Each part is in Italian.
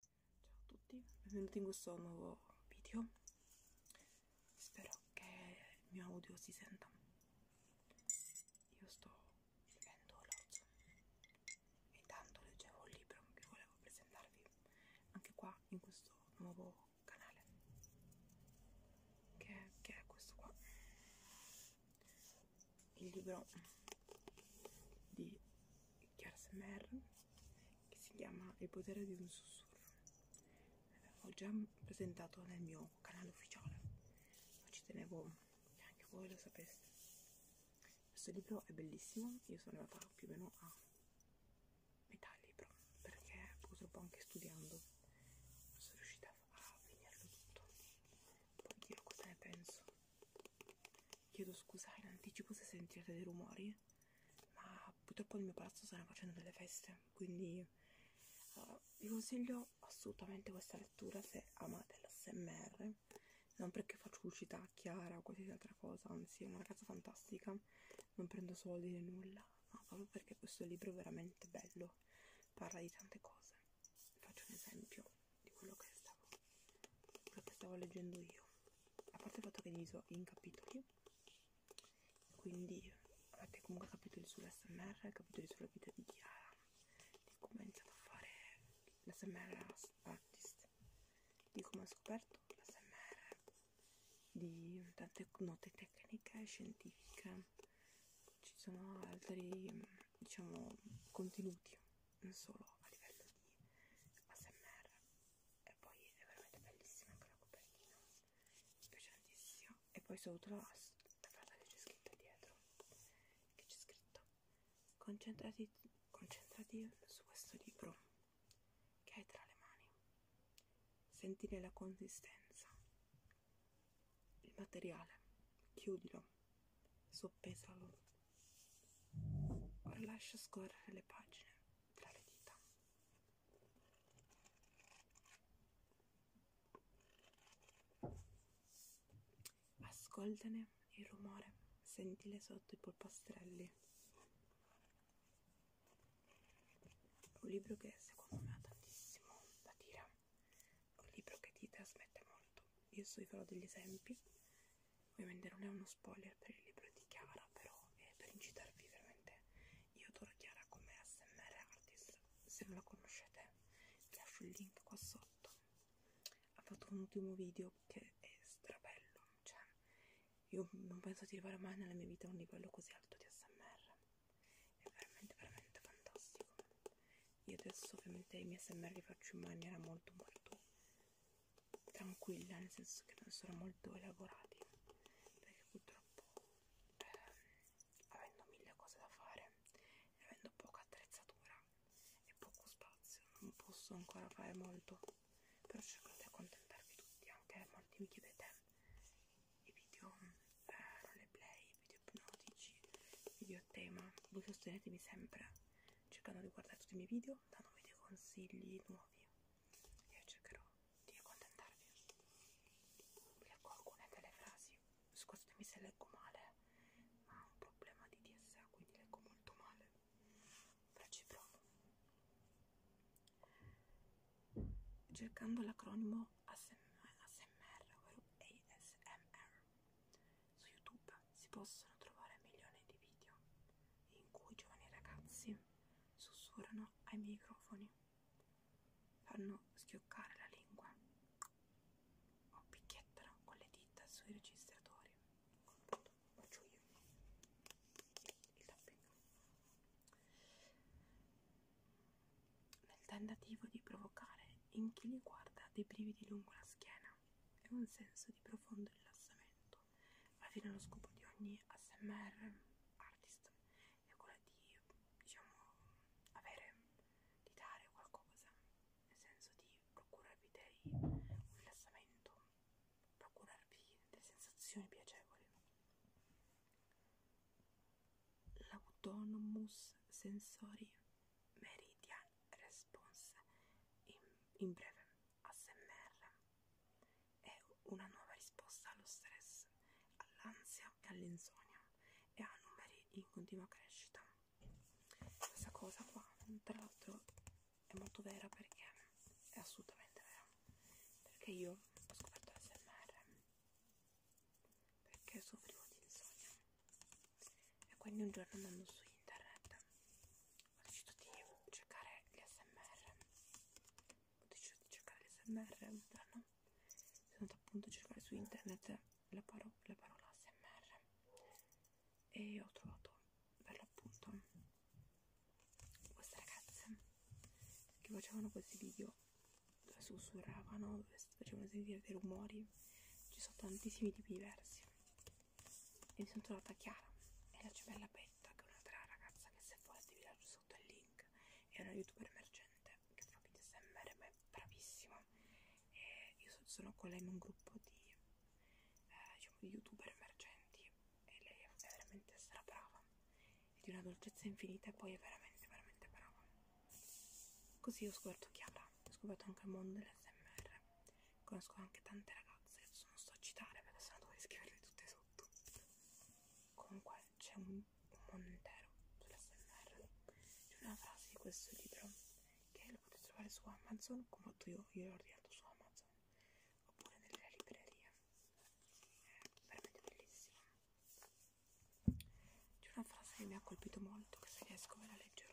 Ciao a tutti, benvenuti in questo nuovo video. Spero che il mio audio si senta. Io sto bevendo l'orzo e tanto leggevo un libro che volevo presentarvi anche qua in questo nuovo canale che, che è questo qua il libro di Chiara Semmer che si chiama Il potere di un sussurro. L'ho già presentato nel mio canale ufficiale, ma ci tenevo che anche voi lo sapeste. Questo libro è bellissimo, io sono andata più o meno a metà libro perché purtroppo anche studiando non sono riuscita a finirlo tutto. Poi io cosa ne penso? Chiedo scusa in anticipo se sentirete dei rumori, ma purtroppo nel mio palazzo stanno facendo delle feste, quindi uh, vi consiglio assolutamente questa lettura se amate l'SMR. Non perché faccio pubblicità chiara o qualsiasi altra cosa, anzi è una ragazza fantastica, non prendo soldi né nulla, ma proprio perché questo libro è veramente bello, parla di tante cose. Faccio un esempio di quello che stavo, quello che stavo leggendo io a parte il fatto che è diviso in capitoli quindi avete comunque capitoli sull'SMR capitoli sulla vita di Chiara di come ha iniziato a fare l'SMR artist di come ha scoperto l'SMR di tante note tecniche e scientifiche ci sono altri diciamo contenuti non solo a livello di ASMR e poi è veramente bellissima anche la copertina mi piace tantissimo e poi sotto la, la frase che c'è scritta dietro che c'è scritto concentrati, concentrati su questo libro che hai tra le mani sentire la consistenza il materiale chiudilo soppesalo Ora lascio scorrere le pagine tra le dita. Ascoltane il rumore, sentile sotto i polpastrelli. È un libro che secondo me ha tantissimo da dire. È un libro che ti trasmette molto. Io so farò degli esempi Ovviamente non è uno spoiler per il libro di Chiara, però è per incitarvi veramente. Io adoro Chiara come ASMR artist, se non la conoscete vi lascio il link qua sotto. Ha fatto un ultimo video che è strabello, cioè io non penso di arrivare mai nella mia vita a un livello così alto di ASMR. È veramente veramente fantastico. Io adesso ovviamente i miei ASMR li faccio in maniera molto molto tranquilla nel senso che non sono molto elaborati perché purtroppo ehm, avendo mille cose da fare e avendo poca attrezzatura e poco spazio non posso ancora fare molto però cerco di accontentarvi tutti anche molti mi chiedete i video eh, roleplay, video ipnotici, video tema voi sostenetemi sempre cercando di guardare tutti i miei video video, datemi dei consigli nuovi. Io cercherò di accontentarvi. Leggo alcune delle frasi. Scusatemi se leggo male, ma ho un problema di DSA, quindi leggo molto male. Però ci provo. Cercando l'acronimo ASMR, ovvero ASMR su YouTube si possono trovare milioni di video in cui giovani ragazzi sussurrano ai microfoni, fanno schioccare la lingua o picchiettano con le dita sui registratori. Faccio io il tapping nel tentativo di provocare in chi li guarda dei brividi lungo la schiena e un senso di profondo rilassamento. Alla fine lo scopo di ogni ASMR artist è quello di, diciamo, avere, di dare qualcosa, nel senso di procurarvi dei, un rilassamento, procurarvi delle sensazioni piacevoli. L'autonomous sensori Meridian Response, in, in breve ASMR, è una nuova risposta allo stress, all'ansia e all'insonnia e ha numeri in continua crescita. Questa cosa qua, tra l'altro, è molto vera perché è assolutamente vera. Perché io ho scoperto l'SMR perché soffrivo di insonnia e quindi un giorno andando su internet ho deciso di cercare gli smr ho deciso di cercare gli smr sono andata appunto a cercare su internet la, paro la parola smr e ho trovato per l'appunto queste ragazze che facevano questi video dove sussurravano, dove facevano sentire dei rumori ci sono tantissimi tipi diversi e mi sono trovata Chiara e la gemella Betta che è un'altra ragazza che se volete vi lascio sotto il link è una youtuber emergente che fa video smr ma è bravissima e io sono con lei in un gruppo di, eh, diciamo, di youtuber emergenti e lei è veramente stra brava e di una dolcezza infinita e poi è veramente veramente brava così ho scoperto Chiara ho scoperto anche il mondo dell'SMR conosco anche tante ragazze adesso non sto a citare perché sennò dovrei scriverle tutte sotto comunque c'è un, un mondo intero sull'SMR c'è una frase di questo libro che lo potete trovare su Amazon come ho fatto io, io l'ho ordinato su Amazon oppure nelle librerie è veramente bellissimo c'è una frase che mi ha colpito molto che se riesco ve la leggerò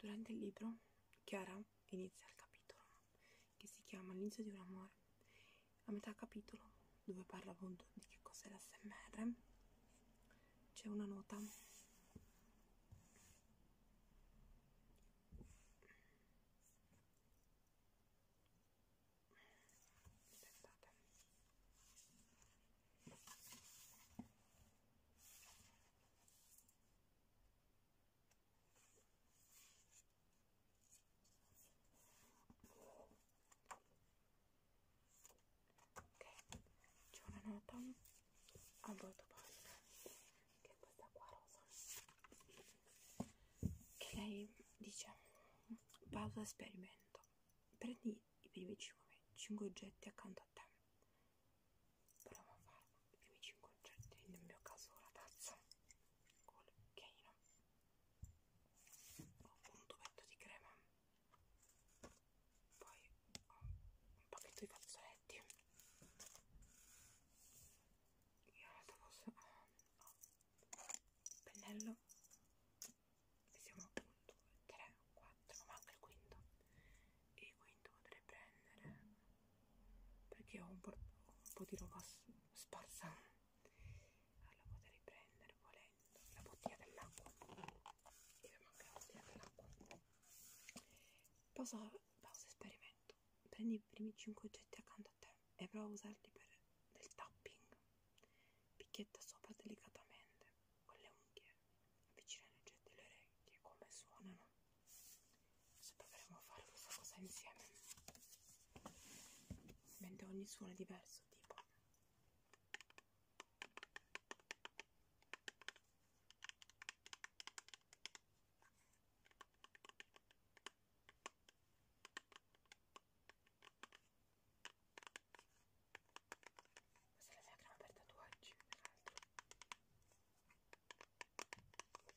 Durante il libro, Chiara inizia il capitolo che si chiama L'inizio di un amore. A metà capitolo, dove parla appunto di che cos'è l'SMR, c'è una nota aspettate ok c'è una nota a voto pagina che è questa qua rosa che lei dice pausa esperimento prendi i primi 5, 5 oggetti accanto a te proviamo a fare i primi 5 oggetti nel mio caso la tazza col cucchiaino ho un tubetto di crema poi ho un pacchetto di fazzoletti io ho, ho il pennello siamo a 1, 2, 3, 4, manca il quinto e il quinto potrei prendere perché ho un po', un po di roba sparsa allora potrei prendere volendo la bottiglia dell'acqua e mi manca la bottiglia dell'acqua pausa, pausa esperimento prendi i primi 5 oggetti accanto a te e prova a usarli per del tapping Picchietta sopra delicatamente con le unghie, avvicina leggete le orecchie come suonano. Se proveremo a fare questa cosa insieme, mentre ogni suono è diverso, tipo. Questa è la crema per tatuaggi, peraltro. Vediamo il secondo oggetto che è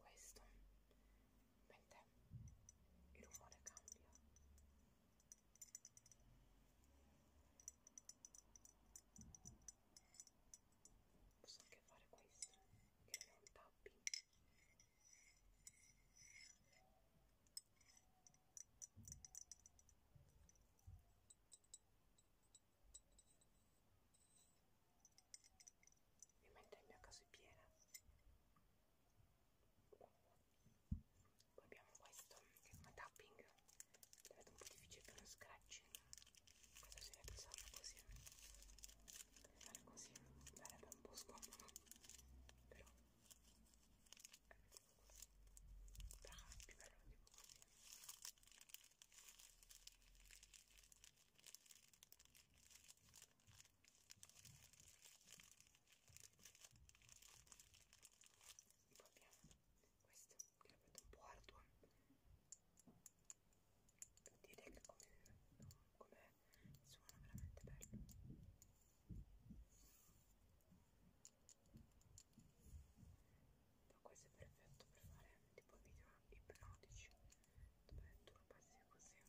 questo mentre il rumore cambia posso anche fare questo che non è un tapping ovviamente il mio caso è piena poi abbiamo questo che è come tapping lo vedo un po' difficile per lo scratching questo si deve usare così fare così sarebbe un po' scomodo però è tipo così però è più bello tipo così e poi abbiamo questo che l'ho fatto un po' arduo per dire che come, come suona veramente bello ma questo è perfetto per fare tipo video ipnotici dove tu lo passi così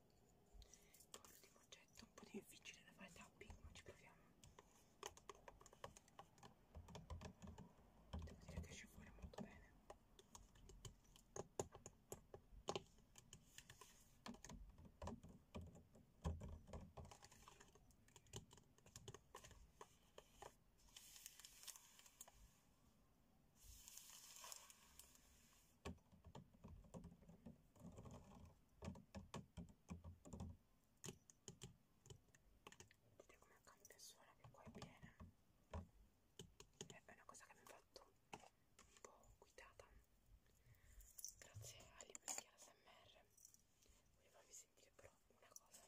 Poi l'ultimo oggetto, un po' difficile da fare tapping, ma ci proviamo. Devo dire che esce fuori molto bene. Vedete come cambia suona che qua è piena. Cioè, è una cosa che mi ha fatto un po' guidata. Grazie agli amici ASMR. Voglio farvi sentire però una cosa.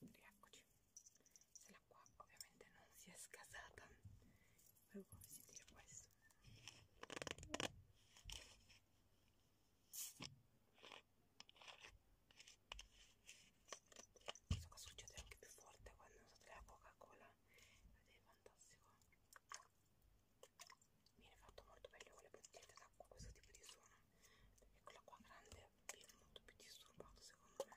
Rieccoci. Se l'acqua ovviamente non si è scasata avevo come si dire questo questo qua succede anche più forte quando usate la coca cola ed è fantastico viene fatto molto meglio con le bottiglie d'acqua questo tipo di suono e con l'acqua grande viene molto più disturbato secondo me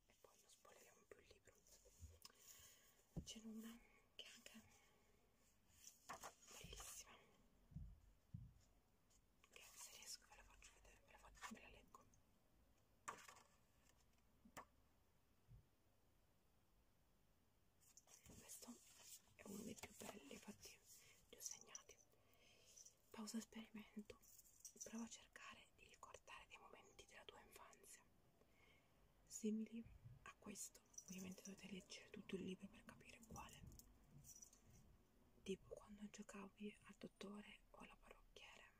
e poi non spoileriamo più il libro c'è una che anche è bellissima che se riesco ve la faccio vedere ve la, faccio, ve la leggo questo è uno dei più belli infatti li ho segnati pausa esperimento prova a cercare di ricordare dei momenti della tua infanzia simili a questo ovviamente dovete leggere tutto il libro per capire quale tipo quando giocavi al dottore o alla parrucchiere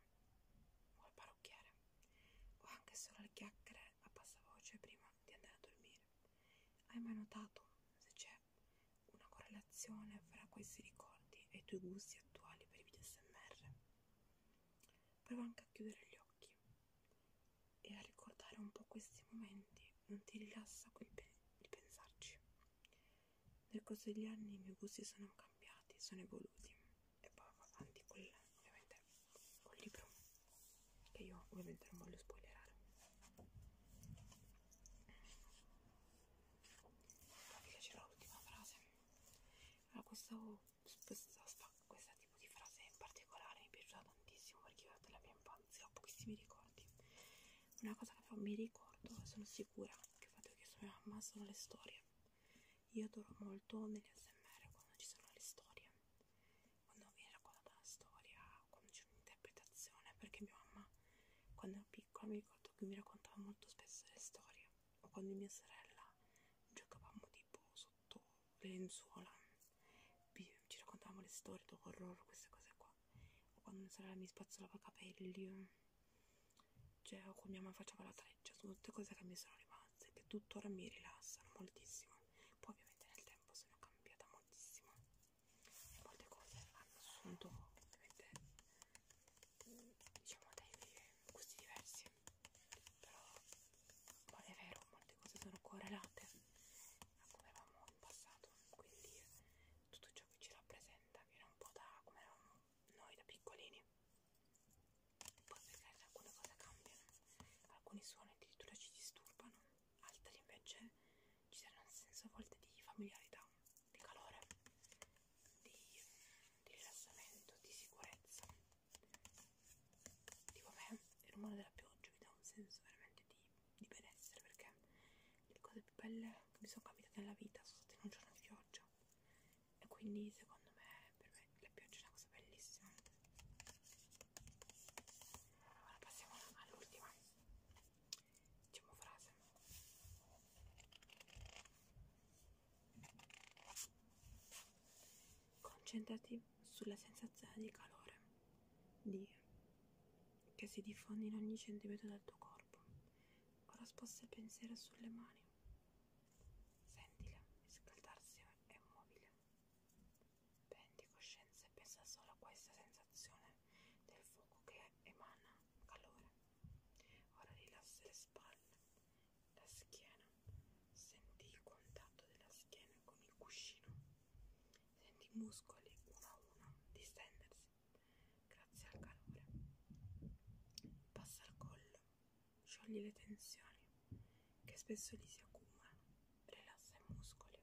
o al parrucchiere o anche solo alle chiacchiere a bassa voce prima di andare a dormire hai mai notato se c'è una correlazione fra questi ricordi e i tuoi gusti attuali per i video smr prova anche a chiudere gli occhi e a ricordare un po' questi momenti non ti rilassa quel pe di pensarci nel corso degli anni i miei gusti sono cambiati sono evoluti e poi va avanti col, ovviamente col libro che io ovviamente non voglio spoilerare vi piacerà l'ultima frase allora questo questa, questa tipo di frase in particolare mi è piaciuta tantissimo perché io della mia infanzia ho pochissimi ricordi una cosa che mi ricordo e sono sicura che ho fatto che sono mia mamma sono le storie io adoro molto negli ASMR quando ci sono le storie quando viene raccontata una storia quando c'è un'interpretazione perché mia mamma quando ero piccola mi ricordo che mi raccontava molto spesso le storie o quando mia sorella giocavamo di tipo sotto le lenzuola ci raccontavamo le storie d'horror queste cose qua o quando mia sorella mi spazzolava i capelli cioè o quando mia mamma faceva la treccia sono tutte cose che mi sono rimaste che tuttora mi rilassano moltissimo poi ovviamente nel tempo sono cambiata moltissimo e molte cose hanno assunto ovviamente diciamo dei gusti diversi però poi è vero molte cose sono correlate a come eravamo in passato quindi tutto ciò che ci rappresenta viene un po' da come eravamo noi da piccolini poi per carità alcune cose cambiano alcuni suoni addirittura ci disturbano altri invece ci danno un senso a volte di familiarità di calore di, di rilassamento, di sicurezza Dico a me, il rumore della pioggia mi dà un senso veramente di, di benessere perché le cose più belle che mi sono capitate nella vita sono state in un giorno di pioggia e quindi secondo me per me la pioggia è una cosa bellissima. Ora passiamo all'ultima diciamo frase Concentrati sulla sensazione di calore di, che si diffonde in ogni centimetro del tuo corpo. Ora sposta il pensiero sulle mani. Sentile riscaldarsi e mobile. Prendi coscienza e pensa solo a questa sensazione del fuoco che emana calore. Ora rilassa le spalle, la schiena, sentì il contatto della schiena con il cuscino, sentì i muscoli uno a uno distendersi grazie al calore. Passa al collo, sciogli le tensioni che spesso lì si accumulano, rilassa i muscoli.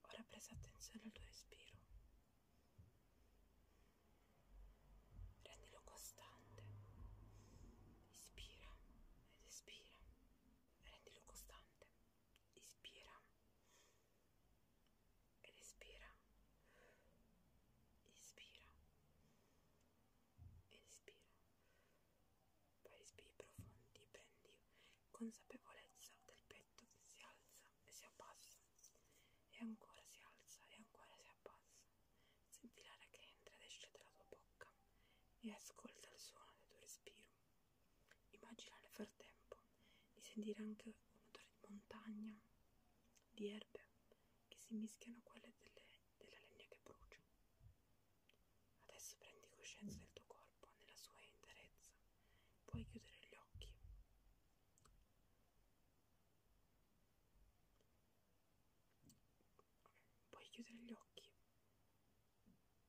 Ora presta attenzione al tuo respiro rendilo costante ispira ed espira rendilo costante ispira ed espira ispira ed espira poi respiri profondi prendi consapevolezza del petto che si alza e si abbassa e ancora si alza e ancora si abbassa, senti l'aria che entra ed esce dalla tua bocca e ascolta il suono del tuo respiro. Immagina nel frattempo di sentire anche un odore di montagna, di erbe che si mischiano a quelle delle, della legna che brucia. Adesso prendi coscienza del tuo corpo nella sua interezza, puoi chiudere gli occhi Puoi chiudere gli occhi,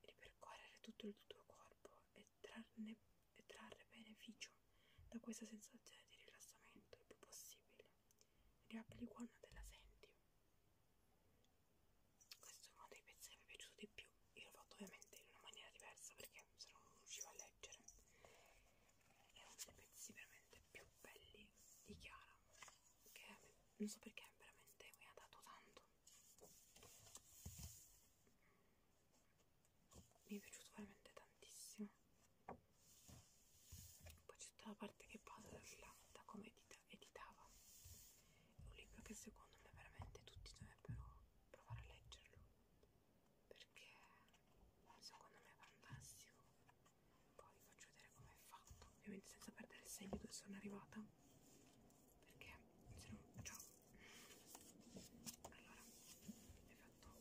ripercorrere tutto il tuo corpo e trarne, e trarre beneficio da questa sensazione di rilassamento il più possibile. Riapri quando te la senti. Questo è uno dei pezzi che mi è piaciuto di più. Io l'ho fatto ovviamente in una maniera diversa perché se no non riuscivo a leggere è uno dei pezzi veramente più belli di Chiara che non so perché veramente mi ha dato tanto mi è piaciuto veramente tantissimo poi c'è tutta la parte che passa da come edita, editava è un libro che secondo me veramente tutti dovrebbero provare a leggerlo perché secondo me è fantastico poi vi faccio vedere come è fatto ovviamente senza perdere il segno dove sono arrivata perché se no ciao allora è fatto praticamente così sono delle frasi sottolineate in rosa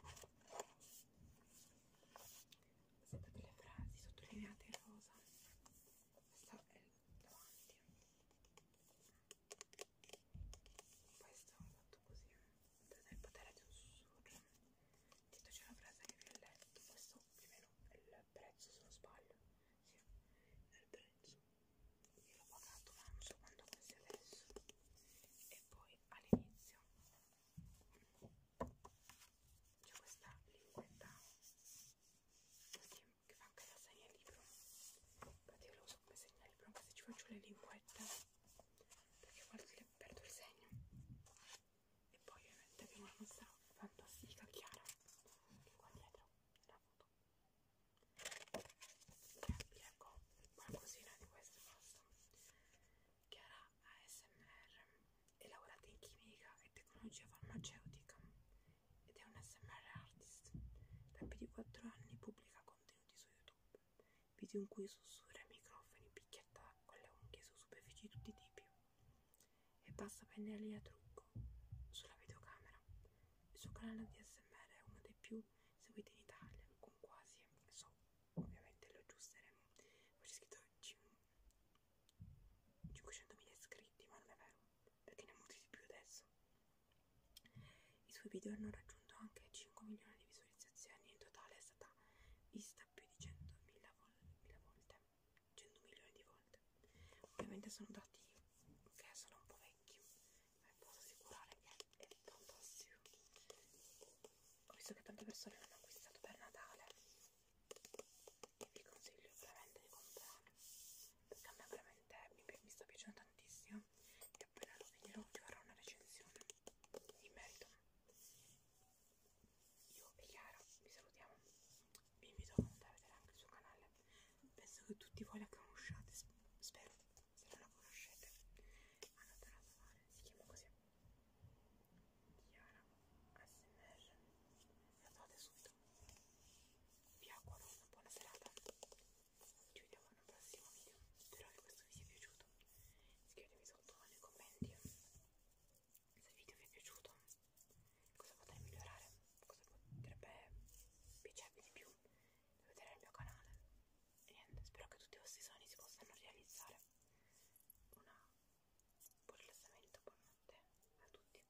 questa è davanti poi stavo fatto così senza il potere di un sussurro dietro c'è una frase che vi ho letto questo più o meno è il prezzo se non sbaglio sì, è il prezzo io l'ho pagato ma non so quanto costi adesso e poi all'inizio c'è questa linguetta che fa anche la segna libro infatti io lo uso come segna il problema è se ci faccio le linguette perché a volte le perdo il segno e poi ovviamente abbiamo la nostra fantastica Chiara che qua dietro la foto e ecco qualcosina di questo basta Chiara ASMR è laureata in chimica e tecnologia farmaceutica ed è un SMR artist da più di 4 anni pubblica contenuti contenuti su YouTube, video in cui sussurra ai microfoni, picchietta con le unghie su superfici di tutti i tipi e passa pennelli a trucco sulla videocamera. Il suo canale di ASMR è uno dei più seguiti in Italia, con quasi, so, ovviamente lo aggiusteremo, ho scritto 500.000 iscritti, ma non è vero, perché ne ha molti di più adesso. I suoi video hanno raggiunto anche 5 milioni di visualizzazioni, in totale è stata vista più di 100.000 vol volte, 100 milioni di volte. Ovviamente sono dati che sono un po' vecchi, ma posso assicurare che è tantissimo. Ho visto che tante persone l'hanno acquistato per Natale e vi consiglio veramente di comprarlo perché a me veramente veramente mi, mi sta piacendo tantissimo e appena lo finirò vi farò una recensione in merito io e Chiara vi salutiamo vi invito a vedere anche il suo canale penso che tutti voi la conosciate spero se non la conoscete andate a trovare si chiama così Chiara ASMR la trovate subito vi auguro una buona serata ci vediamo in un prossimo video spero che questo vi sia piaciuto scrivetemi sotto nei commenti se il video vi è piaciuto cosa potrei migliorare cosa potrebbe piacervi di più da vedere il mio canale e niente spero che tutti i vostri sogni si possano realizzare una buon rilassamento buonanotte a tutti